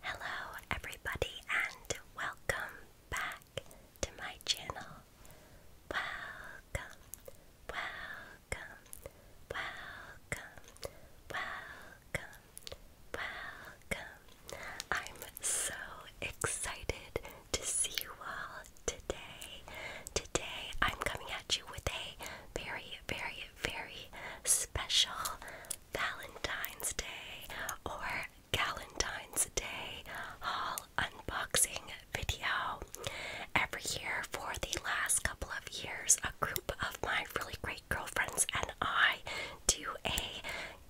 Hello, everybody, and welcome back to my channel welcome, welcome, welcome, welcome, welcome. I'm so excited to see you all today. Today, I'm coming at you with a very, very, very special Valentine's Day or Galentine's Day haul unboxing video. Every year, for the last couple of years, a group of my really great girlfriends and I do a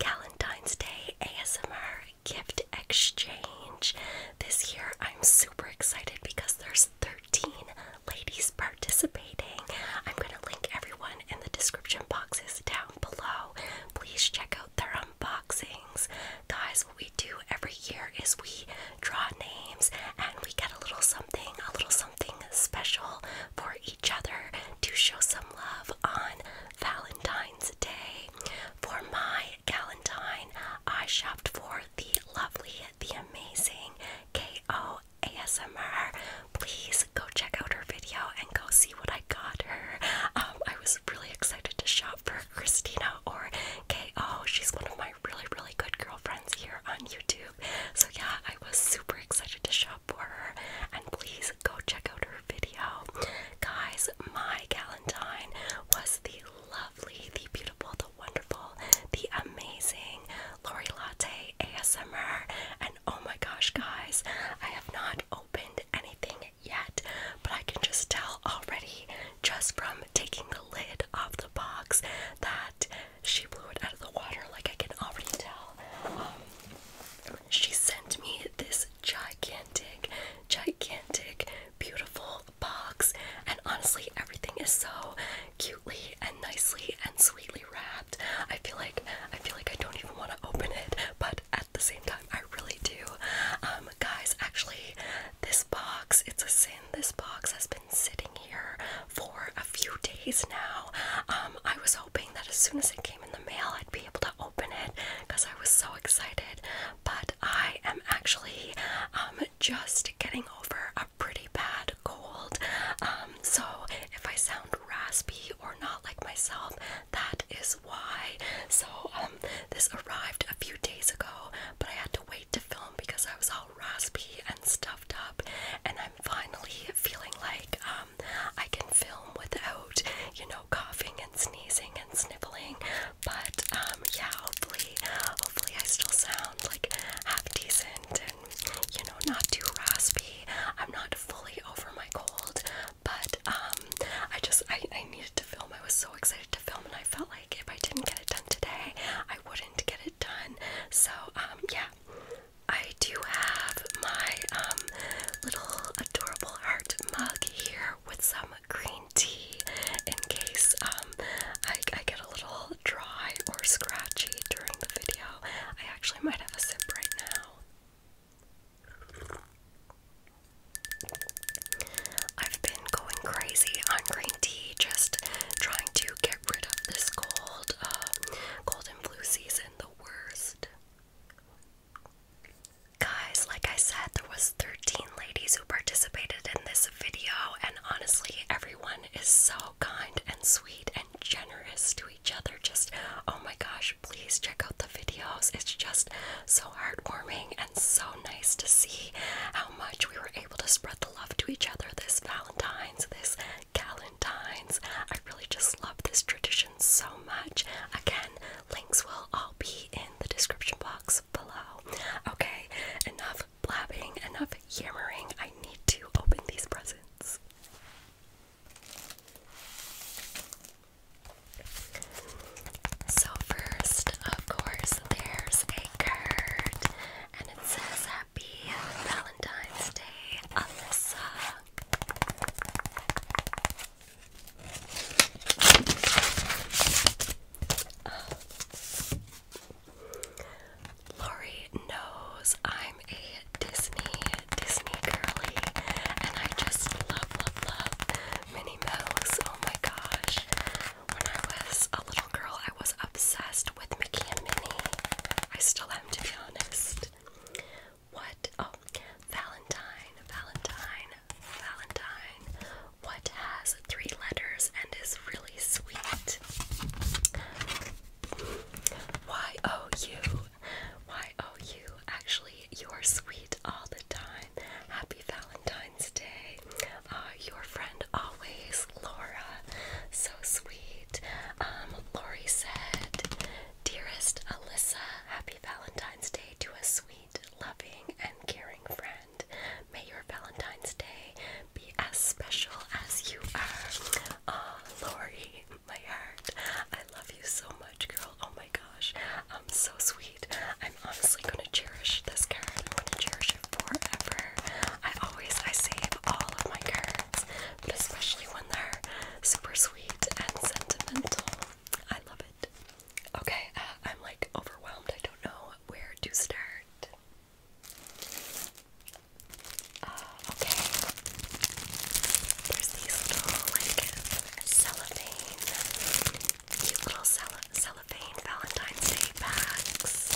Valentine's Day ASMR gift exchange. This year, I'm super excited because there's 13 ladies participating. I'm going to link everyone in the description boxes down below. Please check out their unboxings. Guys, what we do every year is we draw names and we get a little something, a little something special for each other to show some love on Valentine's Day. For my Valentine, I shopped for the lovely, the amazing K.O. ASMR. Please go check out her video and go see what I got her. Um, I was really excited to shop for Christina or KO. She's one of my really, really good girlfriends here on YouTube. So, yeah, I was super excited to shop for her. And please go check out her video. Guys, my Galentine was the lovely, the beautiful, the wonderful, the amazing Lori Latte ASMR. And oh my gosh, guys, I have not opened anything yet, but I can just tell already just from taking the lid off the box that she blew it out of the water. Like, I can already tell. Um, she sent me this gigantic, gigantic, beautiful box, and honestly, everything is so cutely and nicely and sweetly wrapped. I feel like I feel like I don't even want to open it, but at the same time. I really do. Um, guys, actually, this box, it's a sin. This box has been sitting here for a few days now. Um, I was hoping that as soon as it came in the mail, I'd be able to open it because I was so excited. But I am actually um, just getting over a pretty bad cold. so if I sound raspy or not like myself, that is why. So um, this arrived a few days ago, but I had to wait to film because I was all raspy and stuffed up, and I'm finally feeling like um, I can film without, you know, coughing and sneezing and sniffling. But um, yeah, hopefully, hopefully I still sound like half decent and you know not too raspy. I'm not fully over my cold. But um, I just I, I needed to film. I was so excited to film, and I felt like if I didn't get it done today, I wouldn't get it done. So um, yeah, I do have my um, little adorable heart mug here with some green tea in case I, I get a little dry or scratchy during the video. I actually might have a sip right now. I've been going crazy on green tea, just trying to get rid of this cold, uh, and flu season, the worst. Guys, like I said, there was 13 ladies who participated in this video, and honestly, everyone is so kind and sweet and generous to each other. Just, oh my gosh, please check out the videos. It's just so heartwarming and so nice to see how much we were able to spread the love to each other this Valentine's, this Galentine's. I really just love this tradition so much. Again, links will all be in the description box below. Okay, enough blabbing, enough yammering. I need to open these presents. So first, of course, there's a card, and it says Happy Valentine's Day, Alyssa. Ah. Lori knows I'm a Disney, Disney girly, and I just love, love, love Minnie Mouse. Oh my gosh. When I was a little girl, I was obsessed with Mickey and Minnie. I still am, to be honest. What? Oh, Valentine, Valentine, Valentine. What has three letters and is really sweet? Y O U. Y O U actually you're sweet all the time. Happy Valentine's Day. Uh, your friend always, Laura. So sweet. Um, Laurie said, Dearest Alyssa, happy Valentine's Day to a sweet, loving, and caring friend. May your Valentine's Day be as special as you are. Aw, oh, my heart. I love you so much, girl. Oh my gosh, I'm um, so sweet. I'm honestly gonna cherish this carrot. I'm gonna cherish it forever. I always I save all of my carrots, but especially when they're super sweet and sentimental. I love it. Okay, uh, I'm like overwhelmed. I don't know where to start. Uh, okay. There's these little like cellophane cute little cellophane Valentine's Day packs.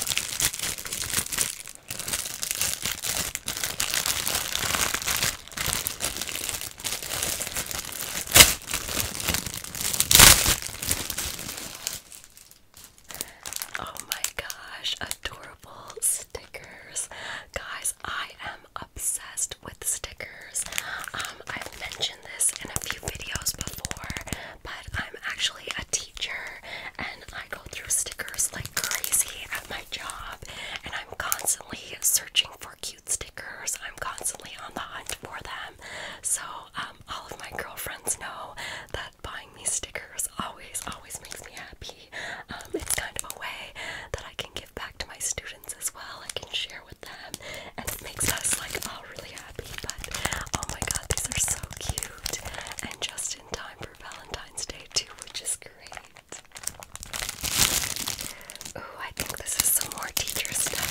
Oh my gosh, adorable stickers. Guys, I am obsessed with stickers. Um, I've mentioned this in a few videos before, but I'm actually a teacher and I go through stickers like crazy at my job, and I'm constantly searching for cute stickers. I'm constantly on the hunt for them. So, um, all of my girlfriends know that buying me stickers always, always makes me happy. Um, it's kind of a way that I can give back to my students as well. I can share with and it makes us like all really happy. But oh my god, these are so cute and just in time for Valentine's Day, too, which is great. Ooh, I think this is some more teacher stuff.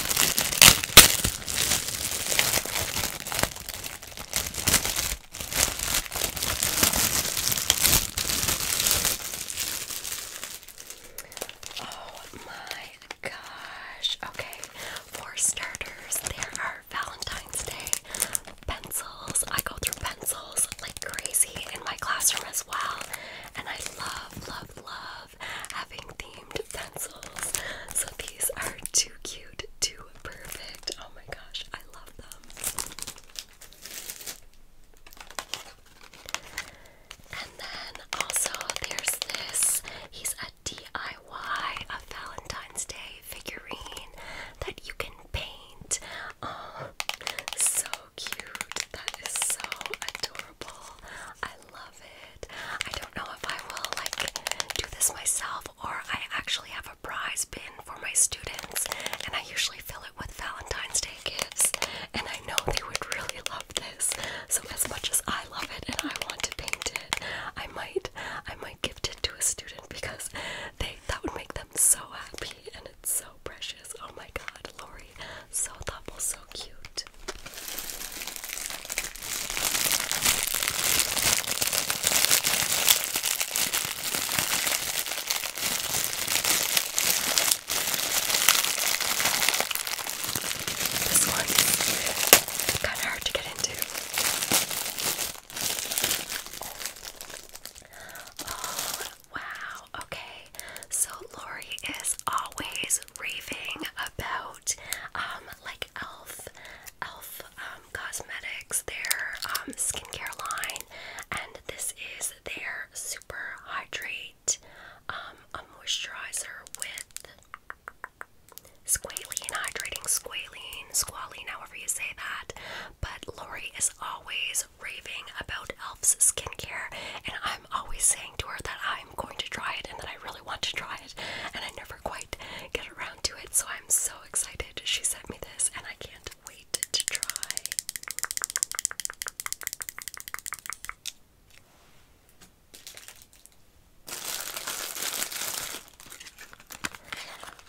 Oh my gosh. Okay, for starters, there are Valentine's Day pencils. I go through pencils like crazy in my classroom as well. And I love, love, love having themed pencils. So these are too cute, too perfect. Oh my gosh, I love them. And then also there's this. He's a DIY a Valentine's Day figurine that you can paint. Oh, so cute. That is so adorable. I love it. I don't know if I will like do this myself or I actually have a prize bin for my students and I usually fill it with Valentine's Day gifts and I know they would really love this. So as much as I love it and I want to paint it, I might I might gift it to a student because they that would make them so happy and it's so precious. Oh my god, Lori. So thoughtful, so cute. This one's kind of hard to get into. Oh, wow. Okay. So Lori is always raving about um like elf elf um cosmetics, their um skincare line, and this is their super hydrate um, a moisturizer with squalene, hydrating squalene, squalene, however you say that. But Lori is always raving about Elf's skincare, and I'm always saying to her that I'm going to try it and that I really want to try it, and I never quite get around to it. So I'm so excited she sent me this, and I can't wait to try.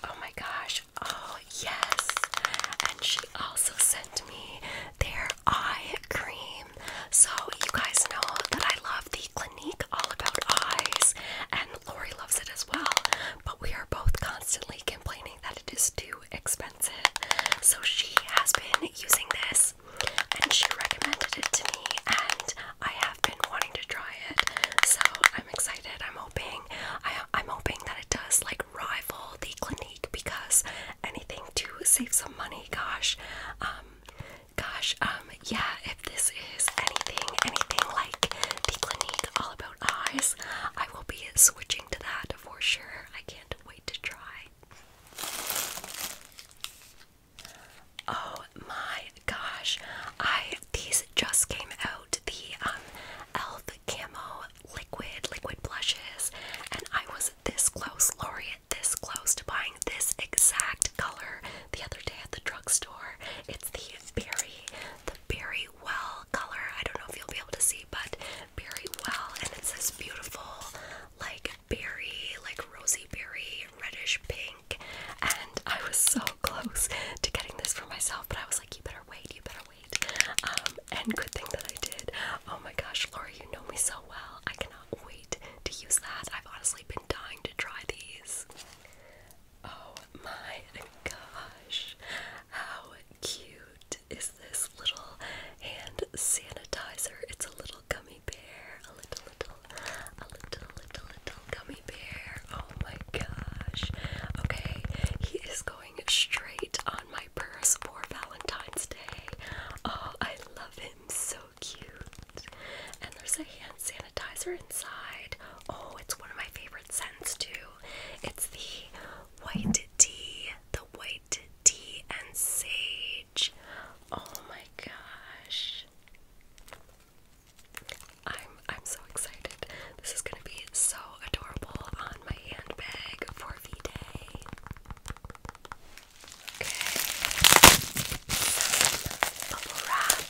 Oh my gosh. Oh, yes. And she also sent me their eye cream. So, you guys know that I love the Clinique All About Eyes, and Lori loves it as well. But we are both constantly complaining that it is too expensive. So, she has been using this and she recommended it to me and I have been wanting to try it so I'm excited I'm hoping I, I'm hoping that it does like rival the Clinique because anything to save some money gosh um gosh um yeah if this is anything anything like the Clinique All About Eyes I will be switching to that for sure I can't wait to try Oh my gosh. I these just came out the um, elf camo liquid liquid blushes and I was this close, Lori, this close to buying this exact color the other day at the drugstore. It's the very, the berry well color. I don't know if you'll be able to see but very well and it's this beautiful like like berry, like rosy berry, reddish pink. And I was so close to getting this for myself, but I was like, you better wait, you better wait. Um, and good thing that I did. Oh my gosh, Laura, you know me so well. I cannot wait to use that. I've honestly been dying to try these. Oh my gosh, how cute is this little hand sanitizer. It's a little gummy bear. A little, little, a little, little, little gummy bear. Oh my gosh. Okay, he is going straight on my purse for Valentine's Day. Oh, I love him. So cute. And there's a hand sanitizer inside. Oh, it's one of my favorite scents too. It's the white tea, the white tea and sage. Oh my gosh. I'm I'm so excited. This is gonna be so adorable on my handbag for V Day. Okay. Bubble wrap.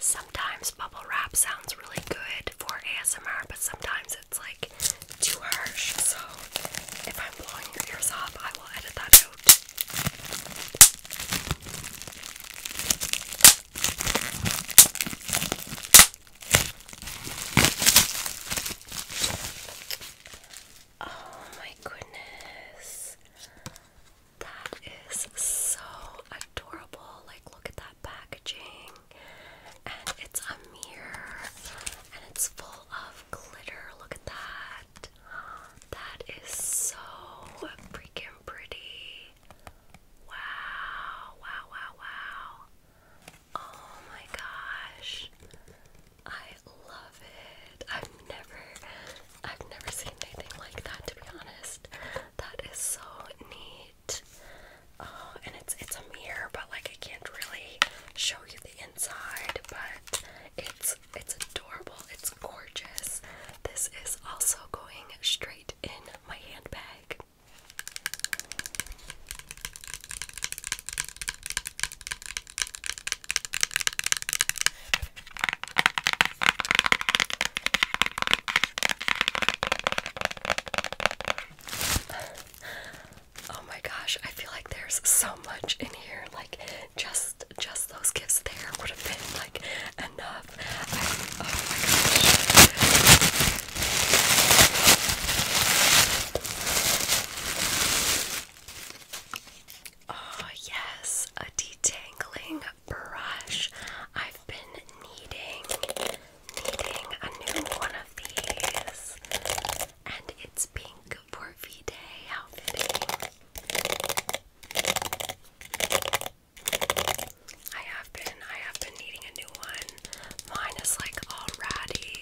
Sometimes bubble wrap sounds really good for ASMR, but sometimes it's like too harsh. So if I'm blowing your ears off, I will edit that out. Oh my goodness. That is so adorable. Like, look at that packaging. And it's a mirror. And it's full of glitter. Look at that. That is so freaking pretty. Wow, wow, wow, wow. Oh my gosh. I love it. I've never I've never seen anything like that to be honest. That is so neat. Oh, and it's it's a mirror, but like I can't really show you the inside, but it's it's adorable. It's gorgeous. This is also going straight in my handbag oh my gosh, I feel like there's so much in here. Like just just those gifts there would have been like enough. Oh Oh, yes, a detangling brush. I've been needing, needing a new one of these, and it's pink for V Day. How I have been I have been needing a new one. Mine is like all ratty.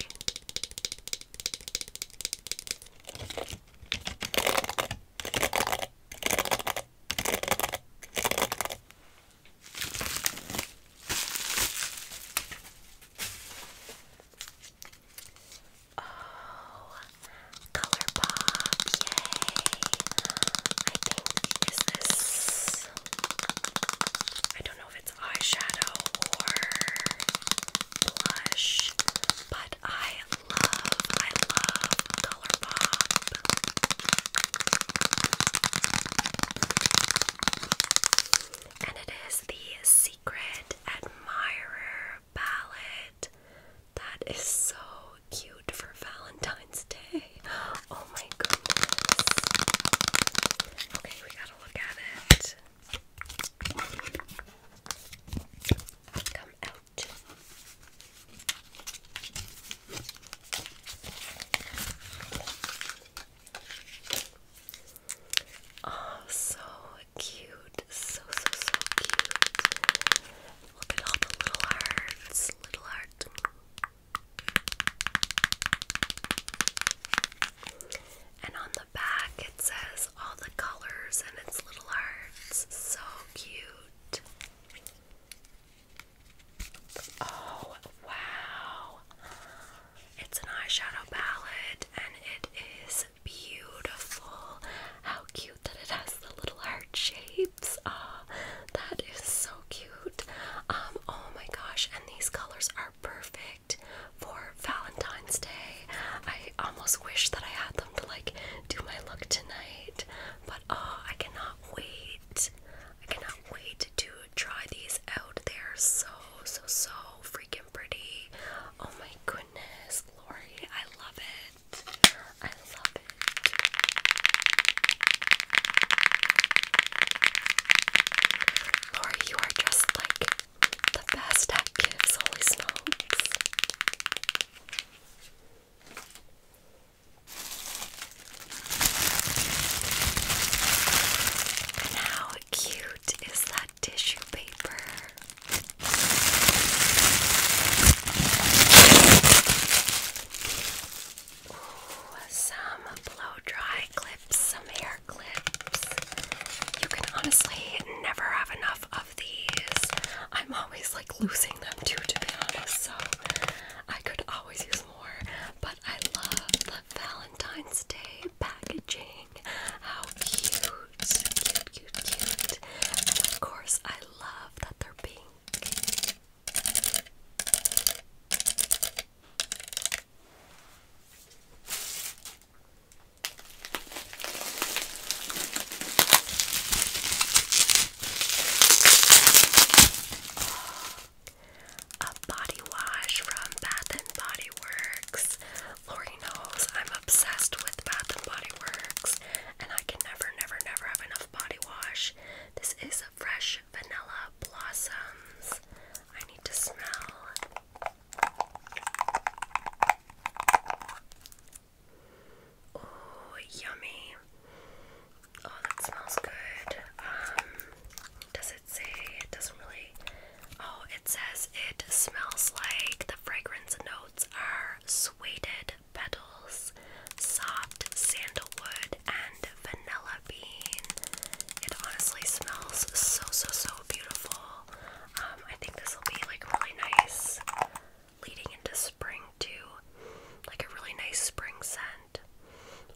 Oh, color yay! I think is this I don't know if it's eyeshadow or blush, but I love, I love ColourPop. And it is the Secret Admirer palette. That is so cute for Valentine's Day. oh my goodness. Okay, we gotta look at it. Come out. Oh, so cute. So, so, so cute. Look at all the little hearts. Little hearts. And on the back it says all the colors and its little hearts. So cute. Oh, wow. It's an eyeshadow palette and it is beautiful. How cute that it has the little heart shapes. Ah, that is so so cute. Um, oh my gosh, and these colors are perfect for Valentine's Day. I almost wish that I had them to like do my look tonight, but oh, I cannot wait. I cannot wait to try these out. They're so, so, so freaking pretty. Oh my goodness, Lori, I love it. I love it. Laura, you are just like the best at gifts, holy smokes. And how cute is that tissue paper? Ooh, some blow dry clips, some hair clips. You can honestly never have enough of these. I'm always like losing them too, to be honest, so I could always use more. But I love the Valentine's Day packaging. How cute, of course, I love that they're pink. A body wash from Bath and Body Works. Lori knows I'm obsessed with Bath and Body Works, and I can never, never, never have enough body wash. This is a Fresh Vanilla Blossoms. I need to smell. Oh, yummy. Oh, that smells good. Um, does it say? It doesn't really. Oh, it says it smells like the fragrance notes are suede petals, soft sandalwood, vanilla bean. It honestly smells so so so beautiful. Um, I think this will be like really nice leading into spring too. Like a really nice spring scent.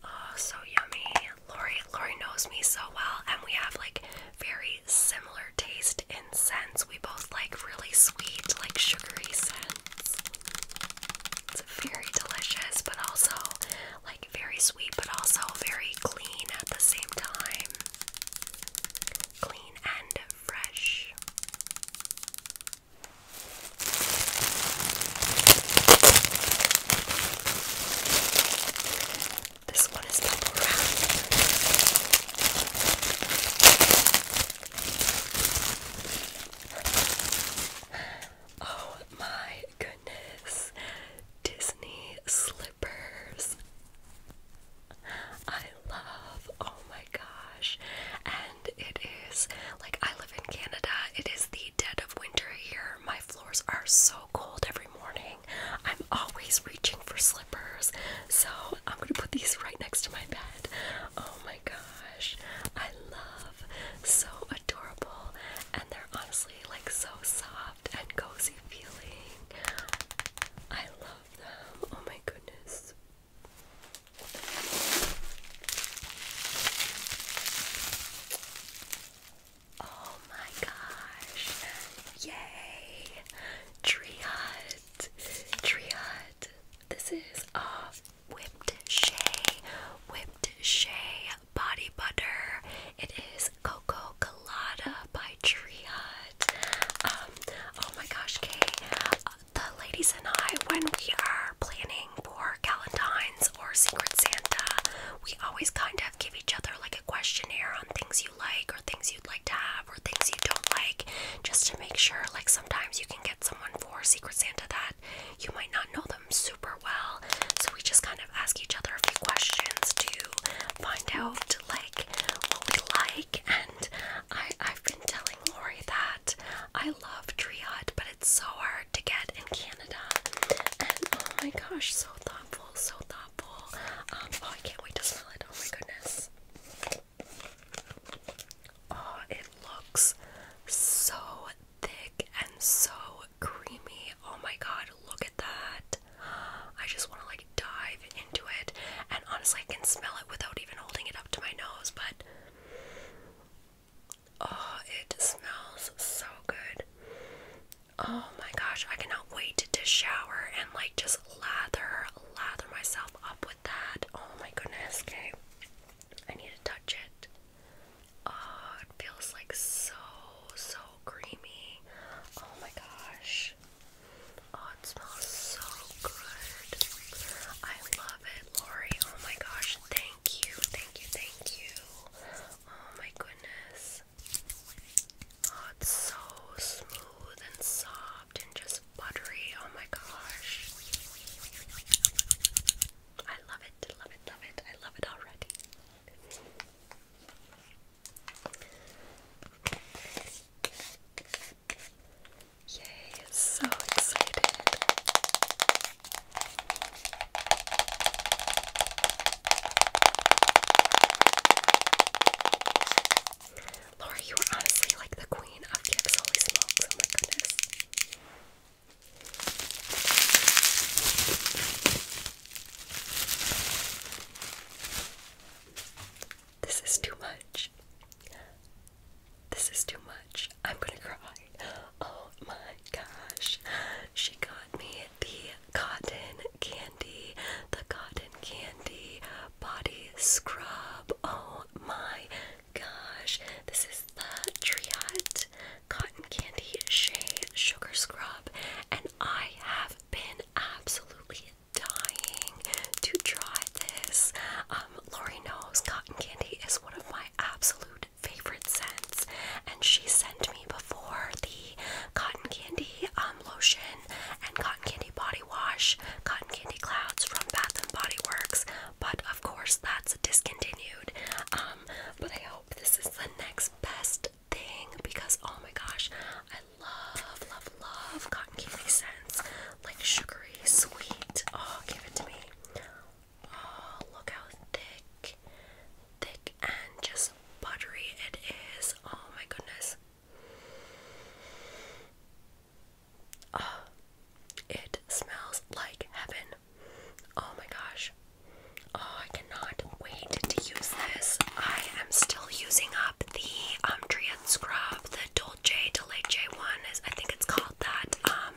Oh, so yummy. Lori Lori knows me so well and we have like very similar taste in scents. We both like really sweet, like sugary scents very delicious, but also like very sweet, but also very clean at the same time. Clean and fresh. This one is double wrapped. Oh my goodness. Disney slippers. I love, oh my gosh. And it is like I live in Canada. It is the dead of winter here. My floors are so cold every morning. I'm always reaching for slippers. So I'm gonna put these right next to my bed. Oh my gosh. I love so adorable, and they're honestly like so soft and cozy feeling. I love them. Oh my goodness. Oh my gosh. Yay! Tree Hut. Tree Hut. This is awesome. Whipped Shea Whipped Shea Body Butter. It is Coco Colada by Tria. Um, oh my gosh, Kay. the ladies and I, when we are planning for Galentine's or Secret Santa, we always kind of give each other like a questionnaire on things you like or things you'd like to have or things you don't like, just to make sure. Like sometimes you can get someone for Secret Santa that you might not know super well. So we just kind of ask each other a few questions to find out like what we like. And I I've been telling Lori that I love triad, but it's so hard to get in Canada. And oh my gosh, so thoughtful, so thoughtful. Um, oh, I can't wait to smell it. Oh my goodness. Oh, it looks so thick and so creamy. Oh my god, look at that. I just want to like dive into it. And honestly, I can smell it without even holding it up to my nose, but oh, it smells so good. Oh my gosh, I cannot wait to shower and like just lather, lather myself up with that. Oh my goodness, okay. I need to touch it. Oh, it feels like so, so creamy. Oh my gosh. Oh, it smells so good. I love it, Lori. Oh my gosh, thank you, thank you, thank you. Oh my goodness. Oh, it's so smooth and soft and just buttery. Oh my gosh. I love it, love it, love it. I love it already. Yay, so excited. Laura, you are honestly like the queen of gifts. Holy oh goodness. This is too much. This is too much. I'm gonna cry. Oh my gosh. She got me the cotton candy, the cotton candy body scrub. Oh my gosh. This is the Tree Cotton Candy Shea Sugar Scrub, and I have been absolutely dying to try this. Um, Lori knows cotton candy is one of my absolute favorite scents, and she sent me before the cotton candy um, lotion and cotton candy body wash, cotton candy clouds from Bath and Body Works, but of course that's discontinued. Um, but I this is the next best thing because oh my gosh, I love, love, love cotton candy scents. Like sugary, sweet. Oh, give it to me. Oh, look how thick, thick and just buttery it is. Oh my goodness. Oh, it smells like heaven. Oh my gosh. Oh, I cannot wait to use this. I am still using up the um scrub, the Dolce de Leche one I think it's called that um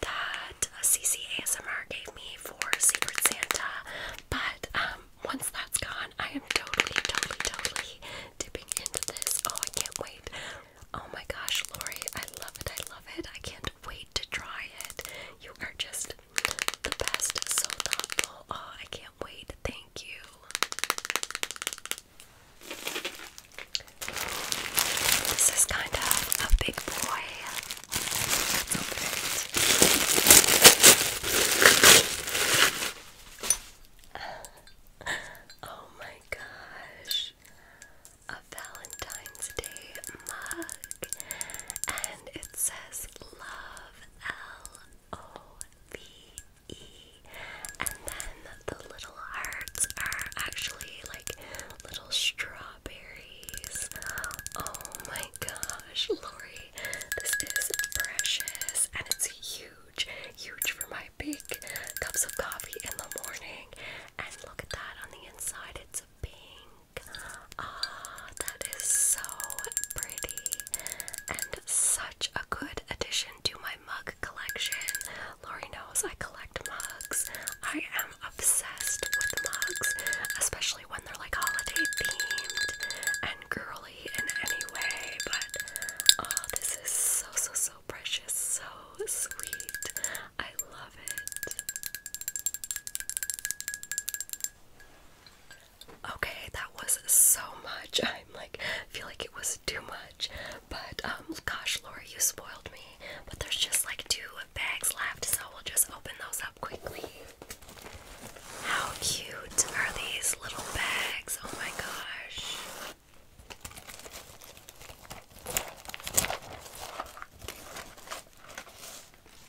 that CC ASMR gave me for Secret Santa. But um, once that's gone, I am totally, totally, totally dipping into this. Oh, I can't wait. Oh my gosh, Lori, I love it. I love it. I can't wait to try it. You are just the best. So thoughtful. Oh, I can't wait. Thank you. This is kind of a big boy. Let's open it. Oh my gosh a Valentine's Day mug, and it says love L O V E, and then the little hearts are actually like little strawberries. Oh my gosh, Lori, this is precious and it's huge, huge for my big cups of coffee in the morning. And look at that on the inside, it's pink. Ah, oh, that is so pretty and such a good addition to my mug collection. Lori knows I collect mugs. I am obsessed with mugs, especially when they're like holiday themed and girly in any way. But oh, this is so so so precious, so sweet. I love it. Okay, that was so much. I'm like, feel like it was too much. But um, gosh, Laura, you spoiled me. But there's just like two bags left, so we'll just open those up quickly. How cute are these little bags? Oh my gosh.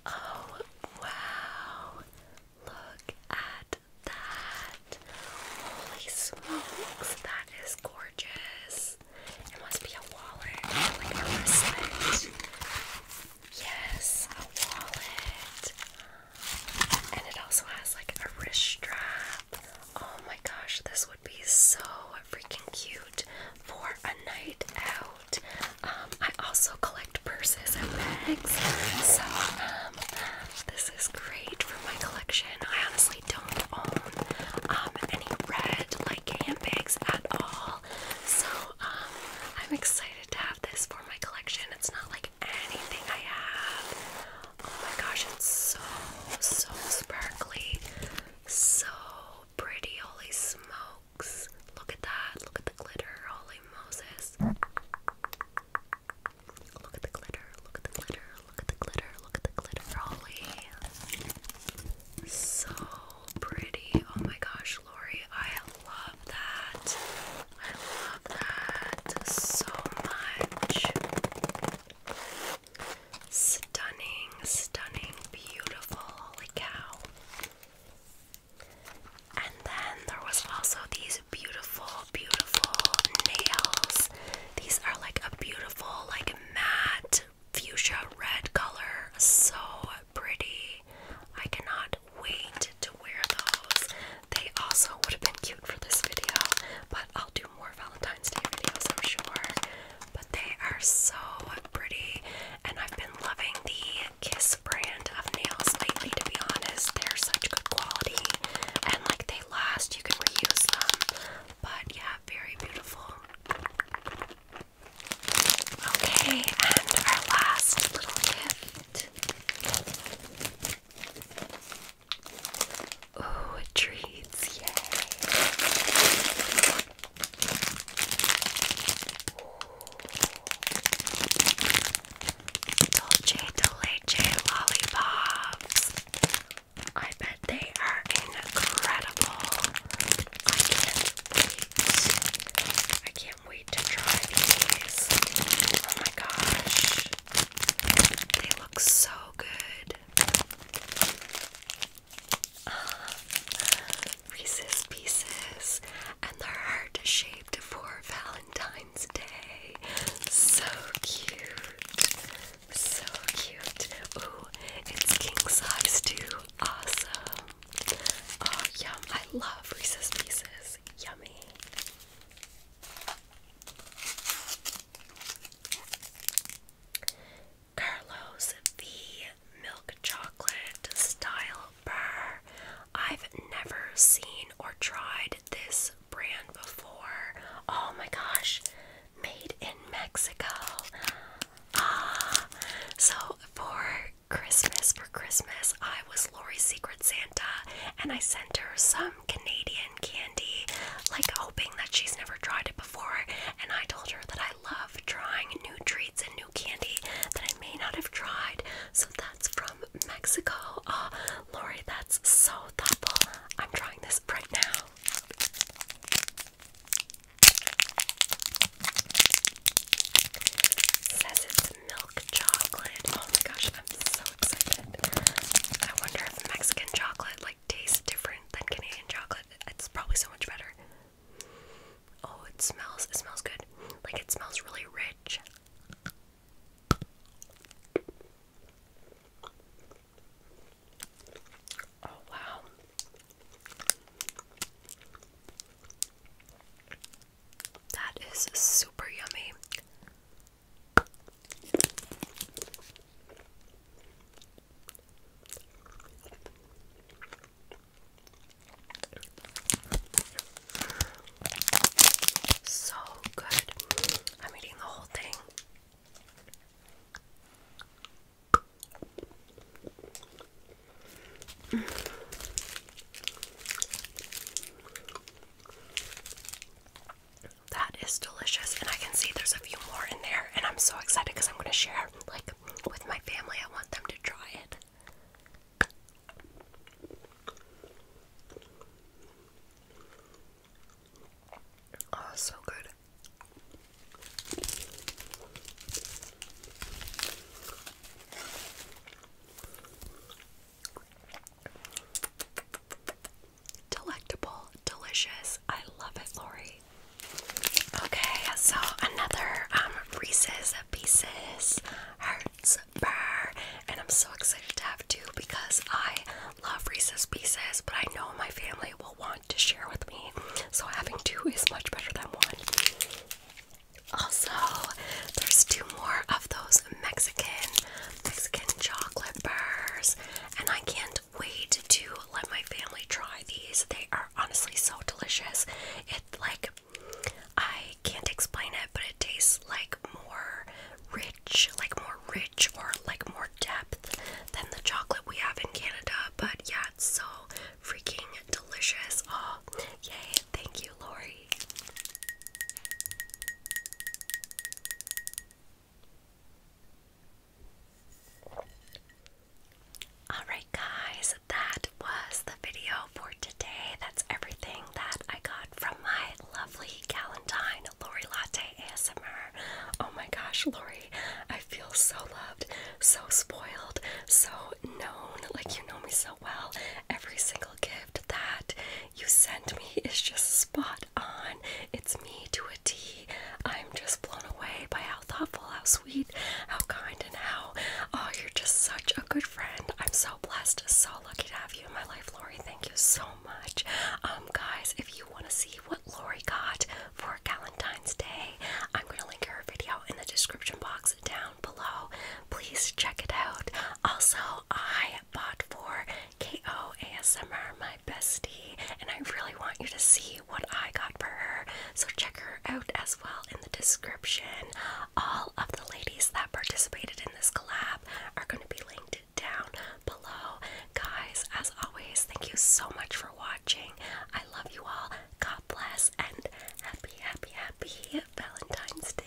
Oh, wow. Look at that. Holy smokes, that is gorgeous. It must be a wallet, like a wristlet. Yes, a wallet. And it also has like a wrist strap. Oh my gosh, this would be so freaking cute for a night out. Um, I also collect purses and bags, so um, this is great for my collection. I honestly don't own um, any red like handbags at all, so I'm excited to have this for my collection. It's not like anything I have. Oh my gosh, it's so so sparkly, so pretty. Holy smokes. Look at that. Look at the glitter. Holy Moses. Look at the glitter. Look at the glitter. Look at the glitter. Look at the glitter. Holy. So pretty. Oh my gosh, Lori. I love that. I love that so much. Stunning, stunning, beautiful, holy cow. And then there was also these beautiful, beautiful nails. These are like a beautiful, like matte fuchsia red color. So pretty. I cannot wait to wear those. They also would have been cute for this video, but I'll do more Valentine's Day videos, I'm sure but they are so pretty and I've been loving the Kiss brand of nails lately to be honest. They're such good quality and like they last, you can reuse them. But yeah, very beautiful. Okay, and our last little gift. Ooh, treats, yay! Dolce de Leche I bet they are incredible. I can't wait. I can't wait to try these. Oh my gosh. They look so good. Reese's Pieces, and they're heart shaped for Valentine's Day. So cute. So cute. Ooh, it's king size too. Awesome. Oh, yum. I love Reese's Pieces. Yummy. Carlos V milk chocolate style bar. I've never seen or tried this brand before. Oh my gosh, made in Mexico. Ah, so for Christmas, for Christmas, I was Lori's Secret Santa and I sent her some Canadian candy, like hoping that she's never tried it before. And I told her that I I love trying new treats and new candy that I may not have tried. So that's from Mexico. Oh, Lori, that's so thoughtful. I'm trying this right now. says it's milk chocolate. Oh my gosh, I'm so excited. I wonder if Mexican chocolate like tastes different than Canadian chocolate. It's probably so much better. Oh, it smells. It smells good. Like it smells really rich. Oh, wow. That is super yummy. So good. I'm eating the whole thing. That is delicious, and I can see there's a few more in there, and I'm so excited because I'm going to share like with my family, I want them to try it. Oh, so good. Delectable, delicious. I love it, Lori. Okay, so another um Reese's Pieces Hearts bar, and I'm so excited to have two because I love Reese's Pieces, but I know my family will want to share with me, so having two is much better than one. Also, there's two more of those Mexican Mexican chocolate bars, and I can't wait to let my family try these. They are honestly so delicious. It like I can't explain it, but it tastes like more rich, like more rich or like more depth than the chocolate we have in Canada. But yeah, it's so freaking delicious. Oh, yay! Thank you, Lori. Alright, guys, that was the video for today. That's everything that I got from my lovely Galentine Lori Latte ASMR. Oh my gosh, Lori, I feel so loved, so spoiled, so known. Like, you know me so well. Every single gift that you sent me is just spot on. It's me to a T. I'm just blown away by how thoughtful, how sweet, how kind, and how oh, you're just such a good friend. I'm so blessed, so lucky to have you in my life, Lori. Thank you so much. Um, guys, if you want to see what Lori got for Valentine's Day, I'm gonna link her video in the description box down below. Please check it out. Also, I bought for KO ASMR my bestie, and I really want you to see what I got for her. So check her out as well in the description. All of the ladies that participated in this collab are going to be linked down below. Guys, as always, thank you so much for watching. I love you all. God bless and happy, happy, happy Valentine's Day.